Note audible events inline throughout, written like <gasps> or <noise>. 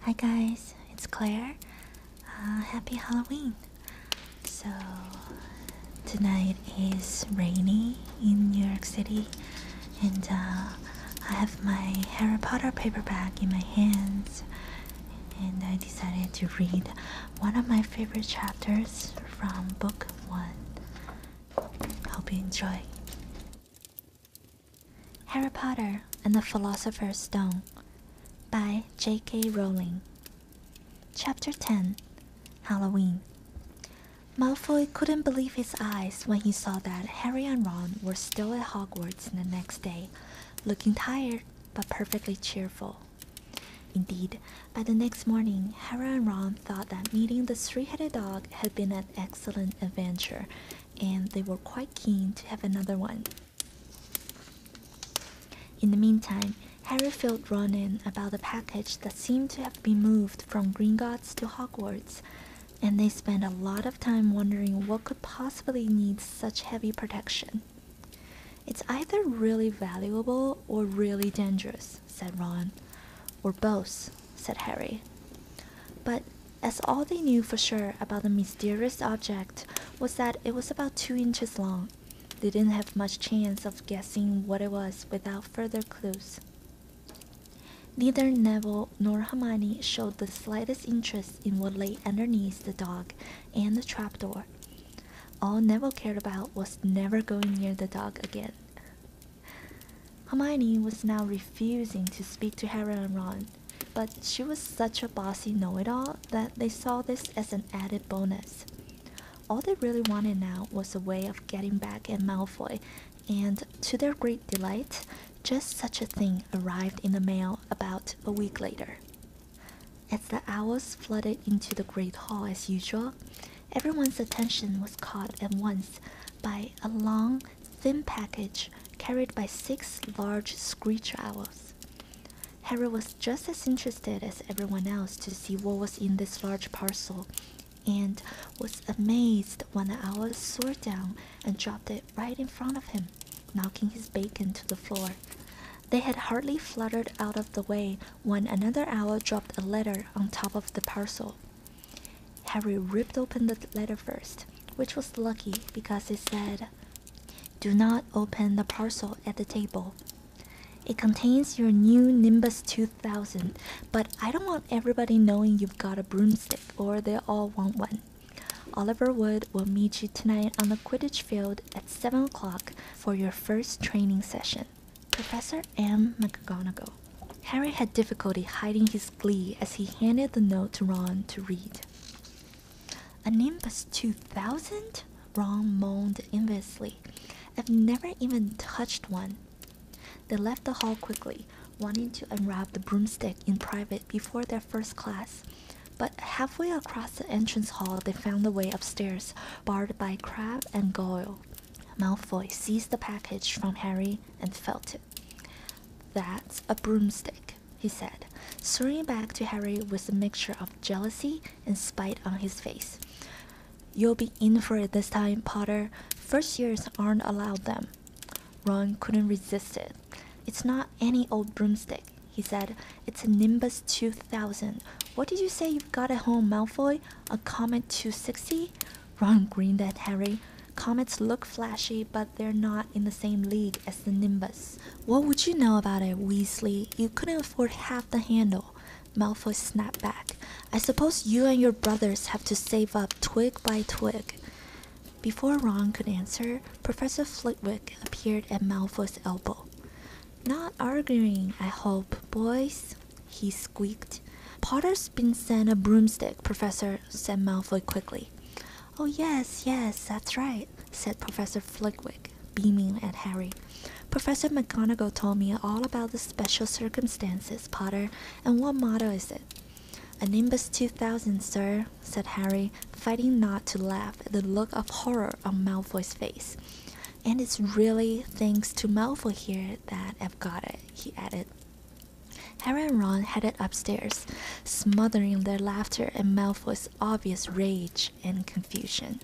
Hi guys, it's Claire. Uh, happy Halloween! So, tonight is rainy in New York City, and uh, I have my Harry Potter paperback in my hands, and I decided to read one of my favorite chapters from book one. Hope you enjoy. Harry Potter and the Philosopher's Stone by J.K. Rowling. Chapter 10 Halloween. Malfoy couldn't believe his eyes when he saw that Harry and Ron were still at Hogwarts the next day, looking tired but perfectly cheerful. Indeed, by the next morning, Harry and Ron thought that meeting the three-headed dog had been an excellent adventure and they were quite keen to have another one. In the meantime, Harry felt Ron in about the package that seemed to have been moved from Gringotts to Hogwarts, and they spent a lot of time wondering what could possibly need such heavy protection. It's either really valuable or really dangerous, said Ron. Or both, said Harry. But as all they knew for sure about the mysterious object was that it was about two inches long. They didn't have much chance of guessing what it was without further clues. Neither Neville nor Hamani showed the slightest interest in what lay underneath the dog and the trapdoor. All Neville cared about was never going near the dog again. Hamani was now refusing to speak to Harry and Ron but she was such a bossy know it all that they saw this as an added bonus. All they really wanted now was a way of getting back at Malfoy, and to their great delight, just such a thing arrived in the mail about a week later. As the hours flooded into the great hall as usual, everyone's attention was caught at once by a long, thin package carried by six large screech owls. Harry was just as interested as everyone else to see what was in this large parcel and was amazed when the owls soared down and dropped it right in front of him, knocking his bacon to the floor. They had hardly fluttered out of the way when another owl dropped a letter on top of the parcel. Harry ripped open the letter first, which was lucky because it said, Do not open the parcel at the table. It contains your new Nimbus 2000, but I don't want everybody knowing you've got a broomstick or they'll all want one. Oliver Wood will meet you tonight on the Quidditch field at 7 o'clock for your first training session. Professor M. McGonagall. Harry had difficulty hiding his glee as he handed the note to Ron to read. A Nimbus 2000? Ron moaned enviously. I've never even touched one. They left the hall quickly, wanting to unwrap the broomstick in private before their first class. But halfway across the entrance hall, they found the way upstairs, barred by Crab and Goyle. Malfoy seized the package from Harry and felt it. That's a broomstick, he said, staring back to Harry with a mixture of jealousy and spite on his face. You'll be in for it this time, Potter. First years aren't allowed them. Ron couldn't resist it. It's not any old broomstick, he said. It's a Nimbus 2000. What did you say you've got at home, Malfoy? A Comet 260? Ron grinned at Harry. Comets look flashy, but they're not in the same league as the Nimbus. What would you know about it, Weasley? You couldn't afford half the handle. Malfoy snapped back. I suppose you and your brothers have to save up twig by twig. Before Ron could answer, Professor Flitwick appeared at Malfoy's elbow. Not arguing, I hope, boys, he squeaked. Potter's been sent a broomstick, Professor, said Malfoy quickly. Oh, yes, yes, that's right, said Professor Flitwick, beaming at Harry. Professor McGonagall told me all about the special circumstances, Potter, and what model is it? A Nimbus 2000, sir, said Harry, fighting not to laugh at the look of horror on Malfoy's face. And it's really thanks to Malfoy here that I've got it, he added. Harry and Ron headed upstairs, smothering their laughter and of obvious rage and confusion.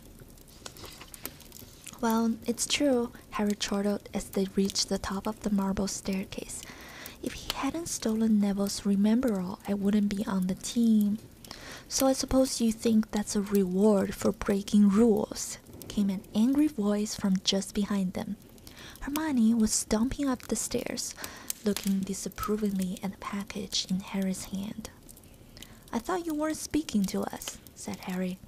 Well, it's true, Harry chortled as they reached the top of the marble staircase. If he hadn't stolen Neville's rememberall, I wouldn't be on the team. So I suppose you think that's a reward for breaking rules, came an angry voice from just behind them. Hermione was stomping up the stairs, looking disapprovingly at the package in Harry's hand. I thought you weren't speaking to us, said Harry.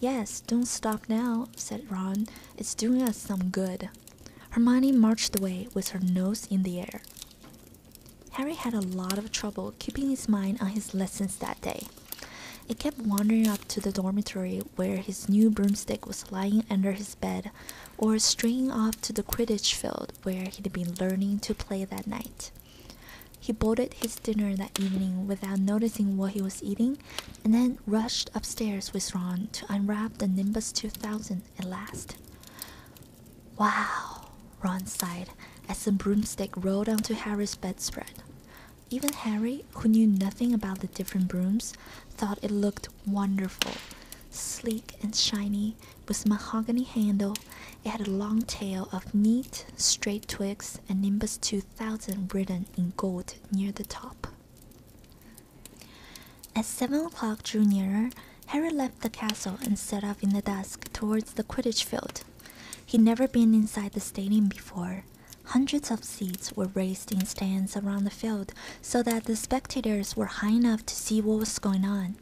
Yes, don't stop now, said Ron. It's doing us some good. Hermione marched away with her nose in the air. Harry had a lot of trouble keeping his mind on his lessons that day. It kept wandering up to the dormitory where his new broomstick was lying under his bed or straying off to the cribbage field where he'd been learning to play that night. He bolted his dinner that evening without noticing what he was eating and then rushed upstairs with Ron to unwrap the Nimbus 2000 at last. Wow, Ron sighed as the broomstick rolled onto Harry's bedspread. Even Harry, who knew nothing about the different brooms, thought it looked wonderful. Sleek and shiny, with mahogany handle, it had a long tail of neat, straight twigs and Nimbus 2000 written in gold near the top. As seven o'clock drew nearer, Harry left the castle and set off in the dusk towards the Quidditch field. He'd never been inside the stadium before. Hundreds of seats were raised in stands around the field, so that the spectators were high enough to see what was going on.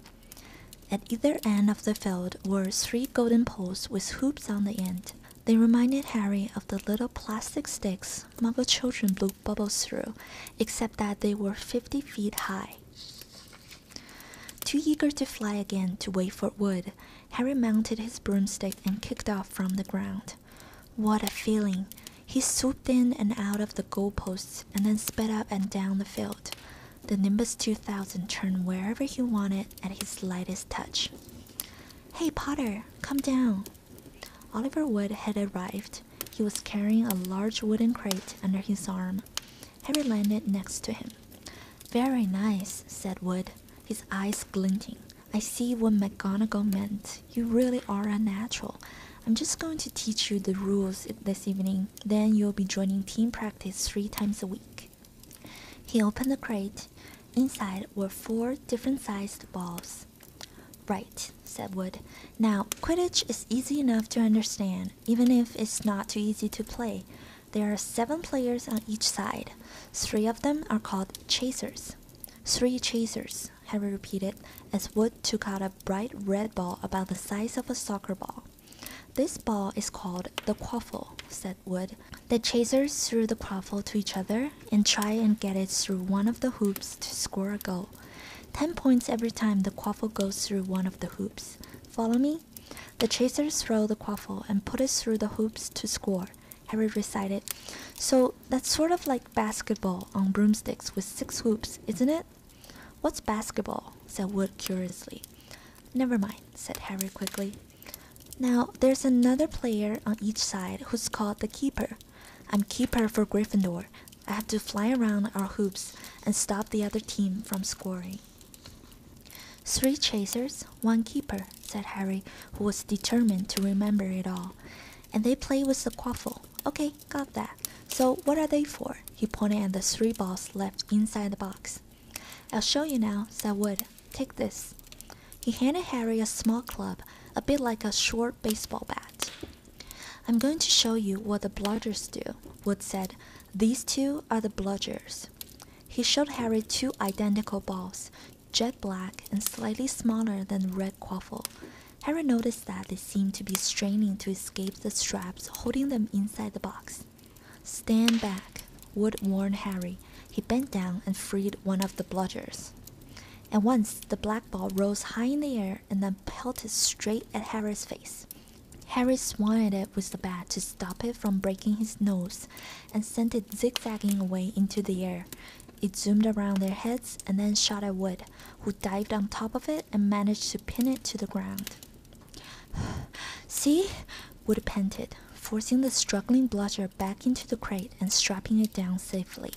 At either end of the field were three golden poles with hoops on the end. They reminded Harry of the little plastic sticks muggle children blew bubbles through, except that they were 50 feet high. Too eager to fly again to wait for Wood, Harry mounted his broomstick and kicked off from the ground. What a feeling! He swooped in and out of the goalposts and then sped up and down the field. The Nimbus 2000 turned wherever he wanted at his lightest touch. Hey Potter, come down! Oliver Wood had arrived. He was carrying a large wooden crate under his arm. Harry landed next to him. Very nice, said Wood, his eyes glinting. I see what McGonagall meant. You really are a natural. I'm just going to teach you the rules this evening, then you'll be joining team practice three times a week. He opened the crate. Inside were four different sized balls. Right, said Wood. Now, Quidditch is easy enough to understand, even if it's not too easy to play. There are seven players on each side. Three of them are called chasers. Three chasers. Harry repeated, as Wood took out a bright red ball about the size of a soccer ball. This ball is called the quaffle, said Wood. The chasers throw the quaffle to each other and try and get it through one of the hoops to score a goal. Ten points every time the quaffle goes through one of the hoops. Follow me? The chasers throw the quaffle and put it through the hoops to score. Harry recited. So that's sort of like basketball on broomsticks with six hoops, isn't it? What's basketball? said Wood curiously. Never mind, said Harry quickly. Now there's another player on each side who's called the keeper. I'm keeper for Gryffindor. I have to fly around our hoops and stop the other team from scoring. Three chasers, one keeper, said Harry, who was determined to remember it all. And they play with the quaffle. Okay, got that. So what are they for? He pointed at the three balls left inside the box. I'll show you now, said Wood. Take this. He handed Harry a small club, a bit like a short baseball bat. I'm going to show you what the bludgers do, Wood said. These two are the bludgers. He showed Harry two identical balls, jet black and slightly smaller than red quaffle. Harry noticed that they seemed to be straining to escape the straps holding them inside the box. Stand back, Wood warned Harry. He bent down and freed one of the bludgers. At once, the black ball rose high in the air and then pelted straight at Harry's face. Harry swung at it with the bat to stop it from breaking his nose and sent it zigzagging away into the air. It zoomed around their heads and then shot at Wood who dived on top of it and managed to pin it to the ground. <sighs> See? Wood panted, forcing the struggling blotcher back into the crate and strapping it down safely.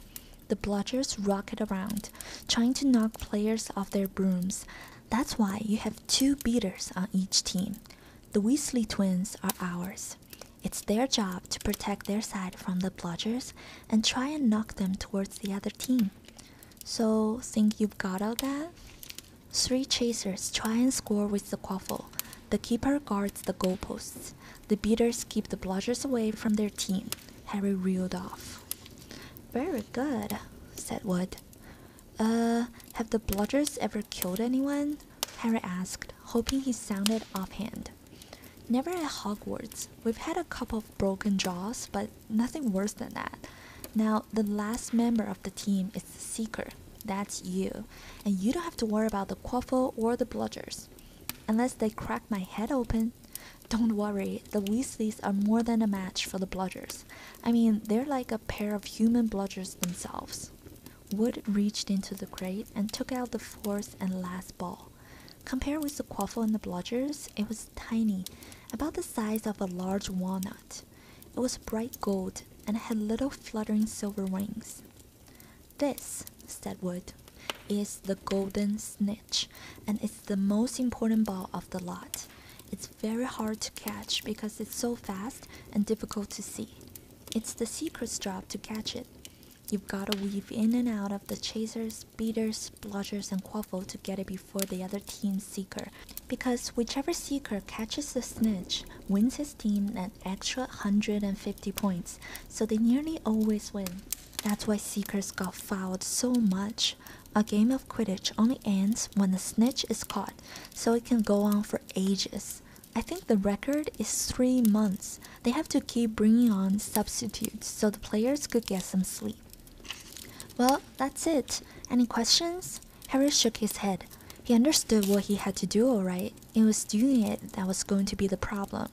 The blotchers rocket around, trying to knock players off their brooms. That's why you have two beaters on each team. The Weasley twins are ours. It's their job to protect their side from the blotchers and try and knock them towards the other team. So think you've got all that? Three chasers try and score with the quaffle. The keeper guards the goalposts. The beaters keep the bludgers away from their team. Harry reeled off. Very good, said Wood. Uh, have the bludgers ever killed anyone? Harry asked, hoping he sounded offhand. Never at Hogwarts. We've had a couple of broken jaws, but nothing worse than that. Now, the last member of the team is the seeker. That's you. And you don't have to worry about the quaffle or the bludgers. Unless they crack my head open. Don't worry, the Weasleys are more than a match for the bludgers. I mean, they're like a pair of human bludgers themselves. Wood reached into the crate and took out the fourth and last ball. Compared with the quaffle and the bludgers, it was tiny, about the size of a large walnut. It was bright gold and had little fluttering silver wings. This, said Wood, is the golden snitch, and it's the most important ball of the lot. It's very hard to catch because it's so fast and difficult to see. It's the secret's job to catch it. You've got to weave in and out of the chasers, beaters, Reds, and Quaffle to get it before the other team's Seeker, because whichever Seeker catches the snitch wins his team an extra 150 points, so they nearly always win. That's why Seekers got fouled so much. A game of Quidditch only ends when the snitch is caught, so it can go on for ages. I think the record is three months. They have to keep bringing on substitutes so the players could get some sleep. Well, that's it. Any questions? Harry shook his head. He understood what he had to do, alright. It was doing it that was going to be the problem.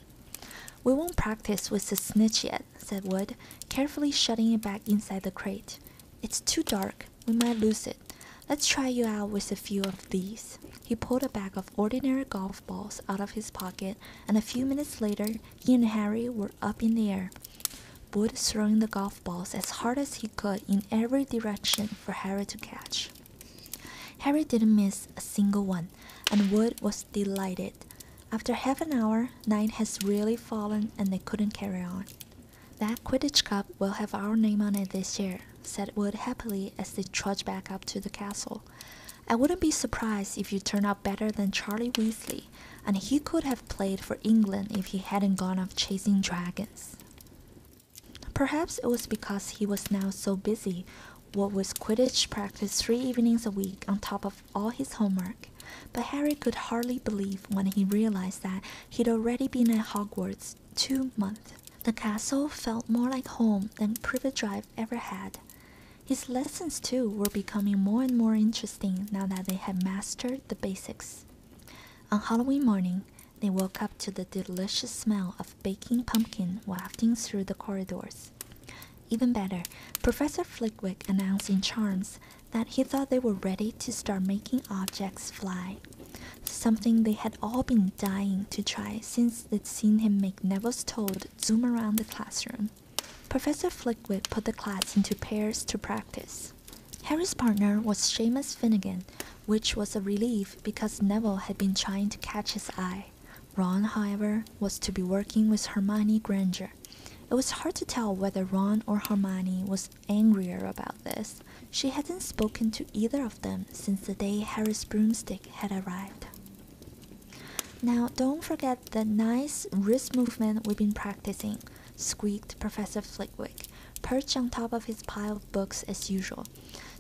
We won't practice with the snitch yet, said Wood, carefully shutting it back inside the crate. It's too dark. We might lose it. Let's try you out with a few of these. He pulled a bag of ordinary golf balls out of his pocket, and a few minutes later, he and Harry were up in the air, Wood throwing the golf balls as hard as he could in every direction for Harry to catch. Harry didn't miss a single one, and Wood was delighted. After half an hour, night has really fallen and they couldn't carry on. That Quidditch Cup will have our name on it this year, said Wood happily as they trudged back up to the castle. I wouldn't be surprised if you turn out better than Charlie Weasley, and he could have played for England if he hadn't gone off chasing dragons. Perhaps it was because he was now so busy, what was Quidditch practice three evenings a week on top of all his homework. But Harry could hardly believe when he realized that he'd already been at Hogwarts two months. The castle felt more like home than Privet Drive ever had. His lessons, too, were becoming more and more interesting now that they had mastered the basics. On Halloween morning, they woke up to the delicious smell of baking pumpkin wafting through the corridors. Even better, Professor Flickwick announced in charms that he thought they were ready to start making objects fly, something they had all been dying to try since they'd seen him make Neville's toad zoom around the classroom. Professor Flickwick put the class into pairs to practice. Harry's partner was Seamus Finnegan, which was a relief because Neville had been trying to catch his eye. Ron, however, was to be working with Hermione Granger. It was hard to tell whether Ron or Hermione was angrier about this. She hadn't spoken to either of them since the day Harry's broomstick had arrived. Now, don't forget the nice wrist movement we've been practicing, squeaked Professor Flickwick, perched on top of his pile of books as usual.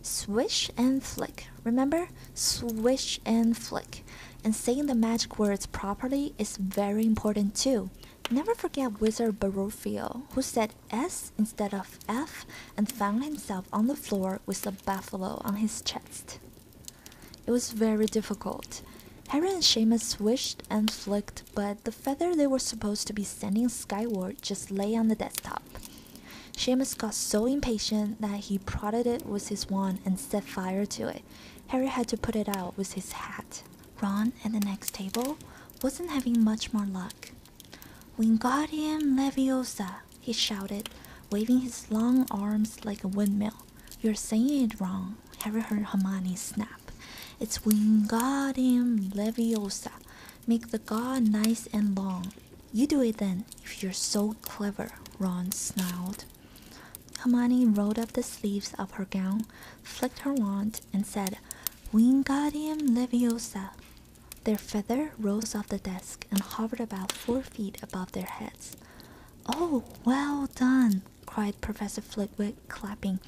Swish and flick, remember? Swish and flick. And saying the magic words properly is very important too. Never forget Wizard Barophio, who said S instead of F and found himself on the floor with a buffalo on his chest. It was very difficult. Harry and Seamus swished and flicked, but the feather they were supposed to be sending skyward just lay on the desktop. Seamus got so impatient that he prodded it with his wand and set fire to it. Harry had to put it out with his hat. Ron, at the next table, wasn't having much more luck. Wingardium Leviosa, he shouted, waving his long arms like a windmill. You're saying it wrong. Harry heard Hermione snap. It's Wingardium Leviosa. Make the god nice and long. You do it then, if you're so clever, Ron snarled. Hermione rolled up the sleeves of her gown, flicked her wand, and said, Wingardium Leviosa. Their feather rose off the desk and hovered about four feet above their heads. Oh, well done! cried Professor Flitwick, clapping.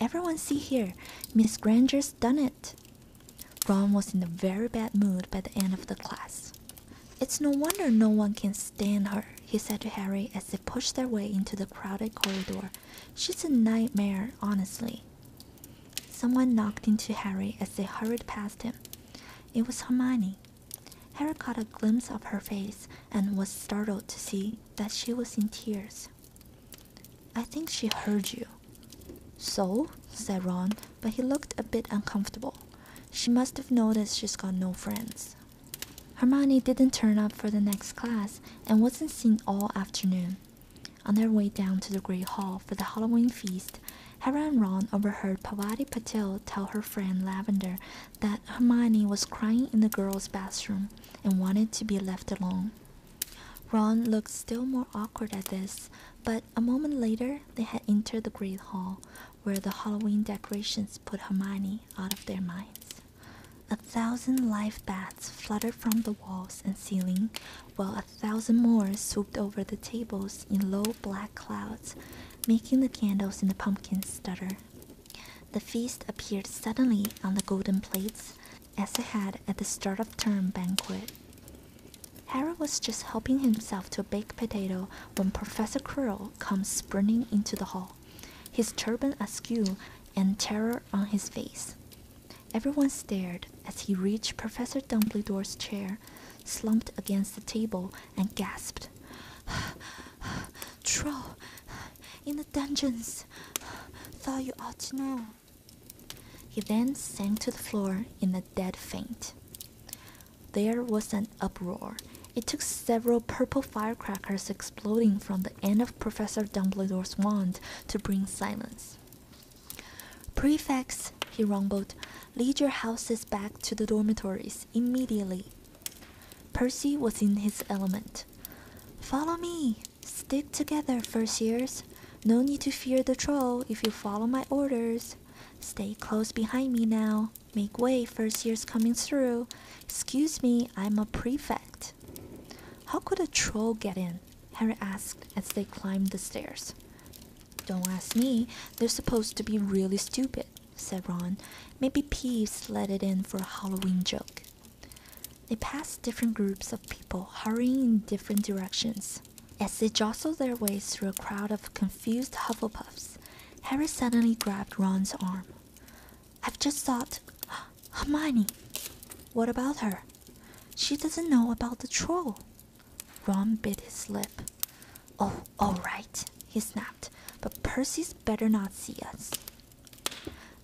Everyone see here, Miss Granger's done it. Ron was in a very bad mood by the end of the class. It's no wonder no one can stand her, he said to Harry as they pushed their way into the crowded corridor. She's a nightmare, honestly. Someone knocked into Harry as they hurried past him. It was Hermione. Harry caught a glimpse of her face and was startled to see that she was in tears. I think she heard you. So? said Ron, but he looked a bit uncomfortable. She must have noticed she's got no friends. Hermione didn't turn up for the next class and wasn't seen all afternoon. On their way down to the Great Hall for the Halloween feast, Harry and Ron overheard Pavati Patil tell her friend Lavender that Hermione was crying in the girls' bathroom and wanted to be left alone. Ron looked still more awkward at this, but a moment later they had entered the Great Hall, where the Halloween decorations put Hermione out of their minds. A thousand live bats fluttered from the walls and ceiling, while a thousand more swooped over the tables in low black clouds, making the candles in the pumpkins stutter. The feast appeared suddenly on the golden plates, as it had at the start of term banquet. Harry was just helping himself to a baked potato when Professor Quirrell comes sprinting into the hall, his turban askew and terror on his face. Everyone stared as he reached Professor Dumbledore's chair, slumped against the table, and gasped. <sighs> <sighs> <sighs> troll in the dungeons. Thought you ought to know. He then sank to the floor in a dead faint. There was an uproar. It took several purple firecrackers exploding from the end of Professor Dumbledore's wand to bring silence. Prefects, he rumbled, lead your houses back to the dormitories immediately. Percy was in his element. Follow me! Stick together, first years. No need to fear the troll if you follow my orders. Stay close behind me now. Make way, first year's coming through. Excuse me, I'm a prefect. How could a troll get in? Harry asked as they climbed the stairs. Don't ask me, they're supposed to be really stupid said Ron. Maybe Peeves let it in for a Halloween joke. They passed different groups of people hurrying in different directions. As they jostled their ways through a crowd of confused Hufflepuffs, Harry suddenly grabbed Ron's arm. I've just thought, <gasps> Hermione! What about her? She doesn't know about the troll. Ron bit his lip. Oh, all right, he snapped, but Percy's better not see us.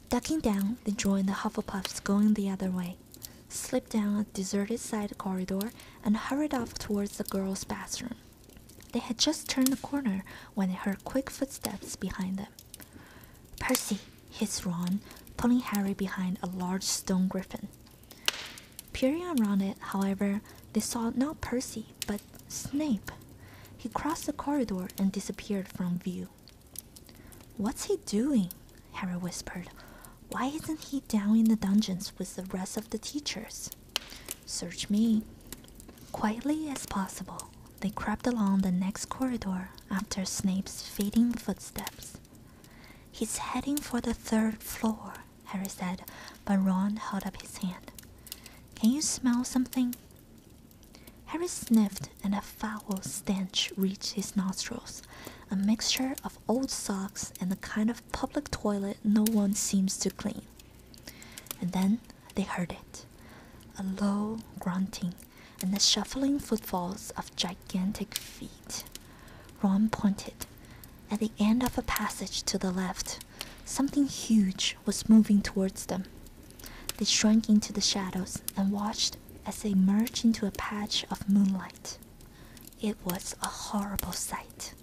Ducking down, they joined the Hufflepuffs going the other way, slipped down a deserted side corridor, and hurried off towards the girls' bathroom. They had just turned the corner when they heard quick footsteps behind them. Percy, hissed Ron, pulling Harry behind a large stone griffin. Peering around it, however, they saw no Percy, but Snape. He crossed the corridor and disappeared from view. What's he doing? Harry whispered. Why isn't he down in the dungeons with the rest of the teachers? Search me. Quietly as possible, they crept along the next corridor after Snape's fading footsteps. He's heading for the third floor, Harry said, but Ron held up his hand. Can you smell something? Harry sniffed, and a foul stench reached his nostrils a mixture of old socks and the kind of public toilet no one seems to clean. And then they heard it a low grunting and the shuffling footfalls of gigantic feet. Ron pointed. At the end of a passage to the left, Something huge was moving towards them. They shrank into the shadows and watched as it emerged into a patch of moonlight. It was a horrible sight.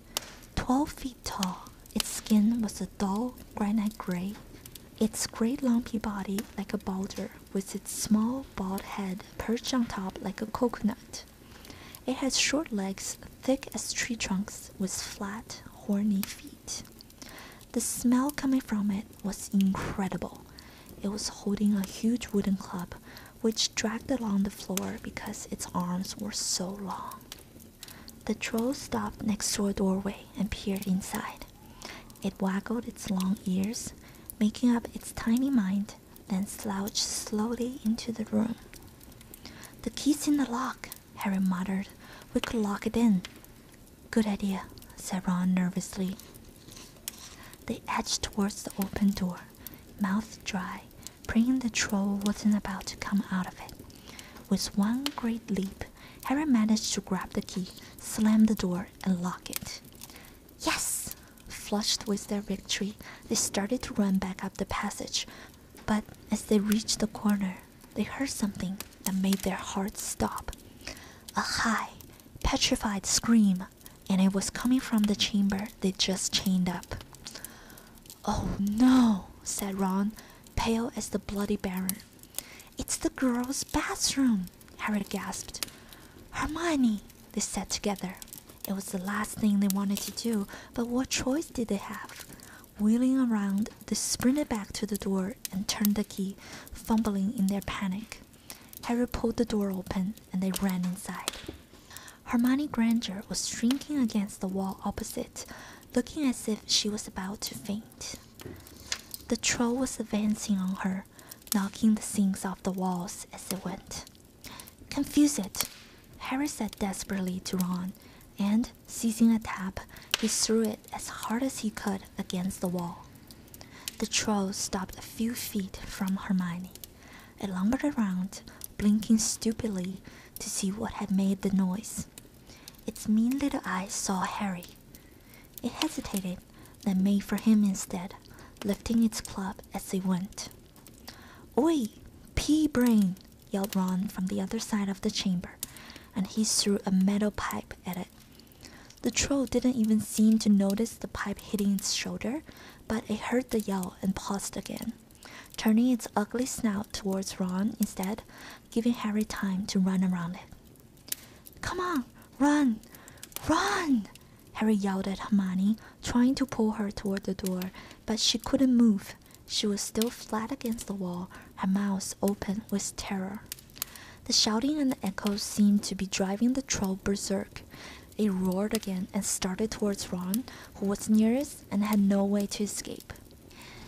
Twelve feet tall, its skin was a dull granite gray, its great lumpy body like a boulder, with its small bald head perched on top like a coconut. It had short legs thick as tree trunks with flat, horny feet. The smell coming from it was incredible. It was holding a huge wooden club, which dragged along the floor because its arms were so long. The troll stopped next to a doorway and peered inside. It waggled its long ears, making up its tiny mind, then slouched slowly into the room. The key's in the lock, Harry muttered. We could lock it in. Good idea, said Ron nervously. They edged towards the open door, mouth dry, praying the troll wasn't about to come out of it. With one great leap, Harry managed to grab the key, slam the door, and lock it. Yes! Flushed with their victory, they started to run back up the passage, but as they reached the corner, they heard something that made their hearts stop a high, petrified scream, and it was coming from the chamber they just chained up. Oh no, said Ron, pale as the bloody baron. It's the girls' bathroom, Harry gasped. Hermione, they said together. It was the last thing they wanted to do, but what choice did they have? Wheeling around, they sprinted back to the door and turned the key, fumbling in their panic. Harry pulled the door open and they ran inside. Hermione Granger was shrinking against the wall opposite, looking as if she was about to faint. The troll was advancing on her, knocking the things off the walls as it went. Confuse it! Harry said desperately to Ron, and Seizing a tap, he threw it as hard as he could against the wall. The troll stopped a few feet from Hermione. It lumbered around, blinking stupidly to see what had made the noise. Its mean little eyes saw Harry. It hesitated, then made for him instead, lifting its club as it went. Oi, pea brain! yelled Ron from the other side of the chamber, and he threw a metal pipe at it. The troll didn't even seem to notice the pipe hitting its shoulder, but it heard the yell and paused again, turning its ugly snout towards Ron instead, giving Harry time to run around it. Come on, run, run! Harry yelled at Hermione, trying to pull her toward the door, but she couldn't move. She was still flat against the wall, her mouth open with terror. The shouting and the echoes seemed to be driving the troll berserk. It roared again and started towards Ron, who was nearest and had no way to escape.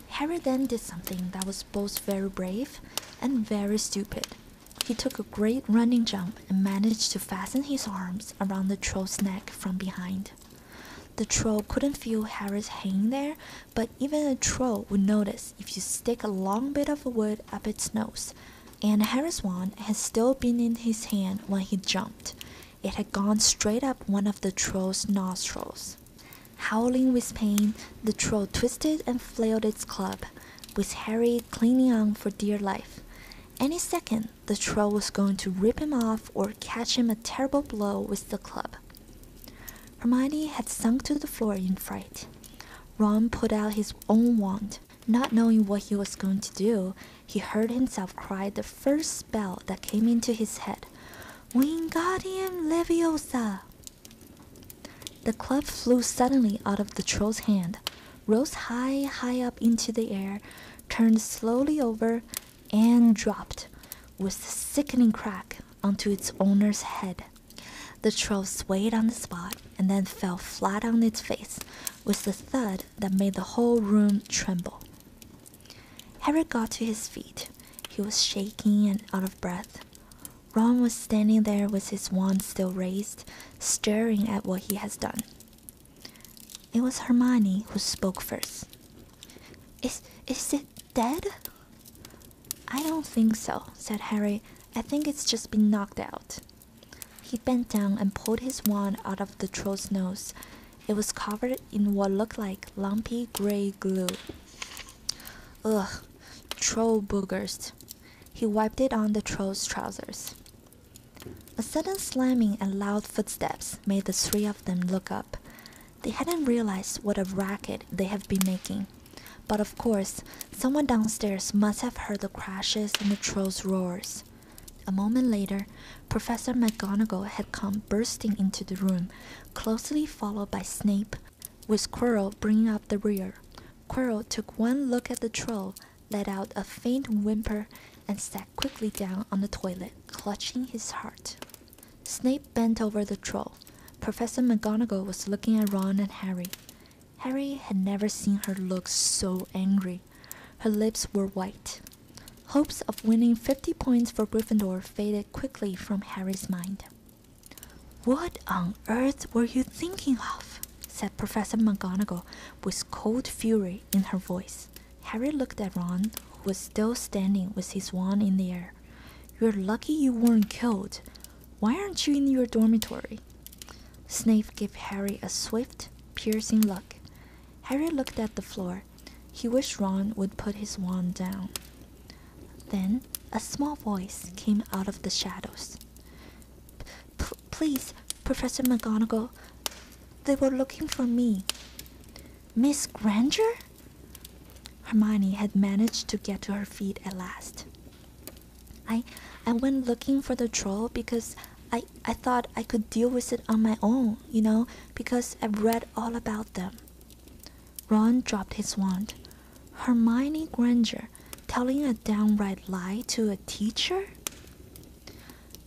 Harry then did something that was both very brave and very stupid. He took a great running jump and managed to fasten his arms around the troll's neck from behind. The troll couldn't feel Harry's hanging there but even a troll would notice if you stick a long bit of wood up its nose. And Harry's wand had still been in his hand when he jumped. It had gone straight up one of the troll's nostrils. Howling with pain, the troll twisted and flailed its club, with Harry clinging on for dear life. Any second, the troll was going to rip him off or catch him a terrible blow with the club. Hermione had sunk to the floor in fright. Ron put out his own wand. Not knowing what he was going to do, he heard himself cry the first spell that came into his head Wingardium Leviosa! The club flew suddenly out of the troll's hand, rose high, high up into the air, turned slowly over, and dropped with a sickening crack onto its owner's head. The troll swayed on the spot and then fell flat on its face with a thud that made the whole room tremble. Harry got to his feet. He was shaking and out of breath. Ron was standing there with his wand still raised, staring at what he had done. It was Hermione who spoke first. Is is it dead? I don't think so, said Harry. I think it's just been knocked out. He bent down and pulled his wand out of the troll's nose. It was covered in what looked like lumpy gray glue. Ugh, troll boogers. He wiped it on the troll's trousers. A sudden slamming and loud footsteps made the three of them look up. They hadn't realized what a racket they had been making. But of course, someone downstairs must have heard the crashes and the trolls' roars. A moment later, Professor McGonagall had come bursting into the room, closely followed by Snape, with Quirrell bringing up the rear. Quirrell took one look at the troll, let out a faint whimper, and sat quickly down on the toilet, clutching his heart. Snape bent over the troll. Professor McGonagall was looking at Ron and Harry. Harry had never seen her look so angry. Her lips were white. Hopes of winning 50 points for Gryffindor faded quickly from Harry's mind. What on earth were you thinking of? said Professor McGonagall with cold fury in her voice. Harry looked at Ron, who was still standing with his wand in the air. You're lucky you weren't killed. Why aren't you in your dormitory? Snape gave Harry a swift, piercing look. Harry looked at the floor. He wished Ron would put his wand down. Then a small voice came out of the shadows. please, Professor McGonagall, they were looking for me. Miss Granger? Hermione had managed to get to her feet at last. I I went looking for the troll because I, I thought I could deal with it on my own, you know, because I've read all about them. Ron dropped his wand. Hermione Granger telling a downright lie to a teacher?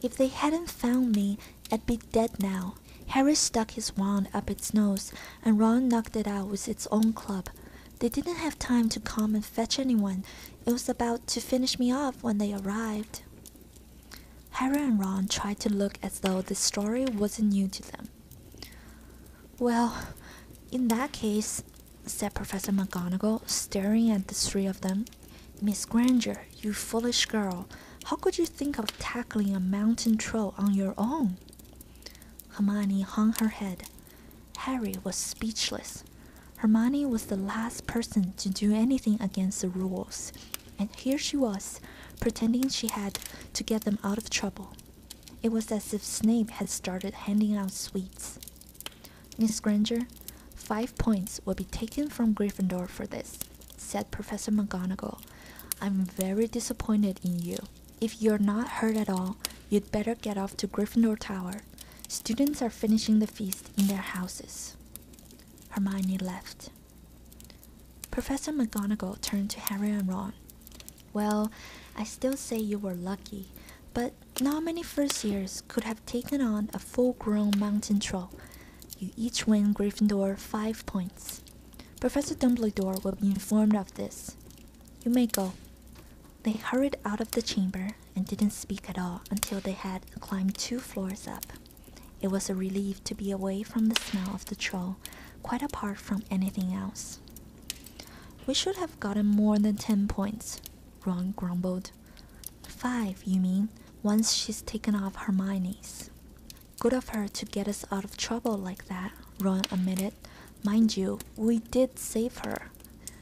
If they hadn't found me, I'd be dead now, Harris stuck his wand up its nose, and Ron knocked it out with its own club. They didn't have time to come and fetch anyone. It was about to finish me off when they arrived. Harry and Ron tried to look as though the story wasn't new to them. Well, in that case, said Professor McGonagall, staring at the three of them, Miss Granger, you foolish girl, how could you think of tackling a mountain troll on your own? Hermione hung her head. Harry was speechless. Hermione was the last person to do anything against the rules, and here she was, pretending she had to get them out of trouble. It was as if Snape had started handing out sweets. Miss Granger, five points will be taken from Gryffindor for this said Professor McGonagall. I'm very disappointed in you. If you're not hurt at all, you'd better get off to Gryffindor Tower. Students are finishing the feast in their houses. Hermione left. Professor McGonagall turned to Harry and Ron. Well, I still say you were lucky, but not many first years could have taken on a full grown mountain troll. You each win Gryffindor five points. Professor Dumbledore will be informed of this. You may go. They hurried out of the chamber and didn't speak at all until they had climbed two floors up. It was a relief to be away from the smell of the troll, quite apart from anything else. We should have gotten more than ten points, Ron grumbled. Five, you mean, once she's taken off Hermione's. Good of her to get us out of trouble like that, Ron admitted. Mind you, we did save her.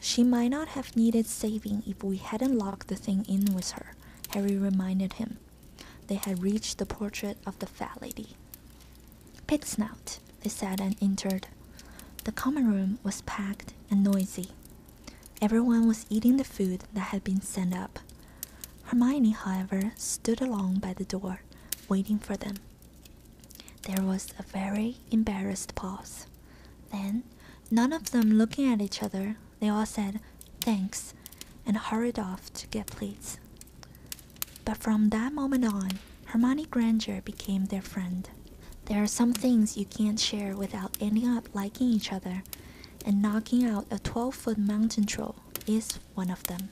She might not have needed saving if we hadn't locked the thing in with her, Harry reminded him. They had reached the portrait of the fat lady. Pig snout, they said and entered. The common room was packed and noisy. Everyone was eating the food that had been sent up. Hermione, however, stood alone by the door, waiting for them. There was a very embarrassed pause. Then, none of them looking at each other, they all said, Thanks, and hurried off to get plates. But from that moment on, Hermione Granger became their friend. There are some things you can't share without ending up liking each other, and knocking out a 12 foot mountain troll is one of them.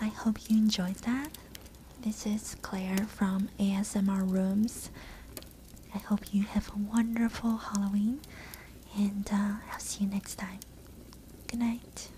I hope you enjoyed that. This is Claire from ASMR Rooms. I hope you have a wonderful Halloween and uh, I'll see you next time. Good night.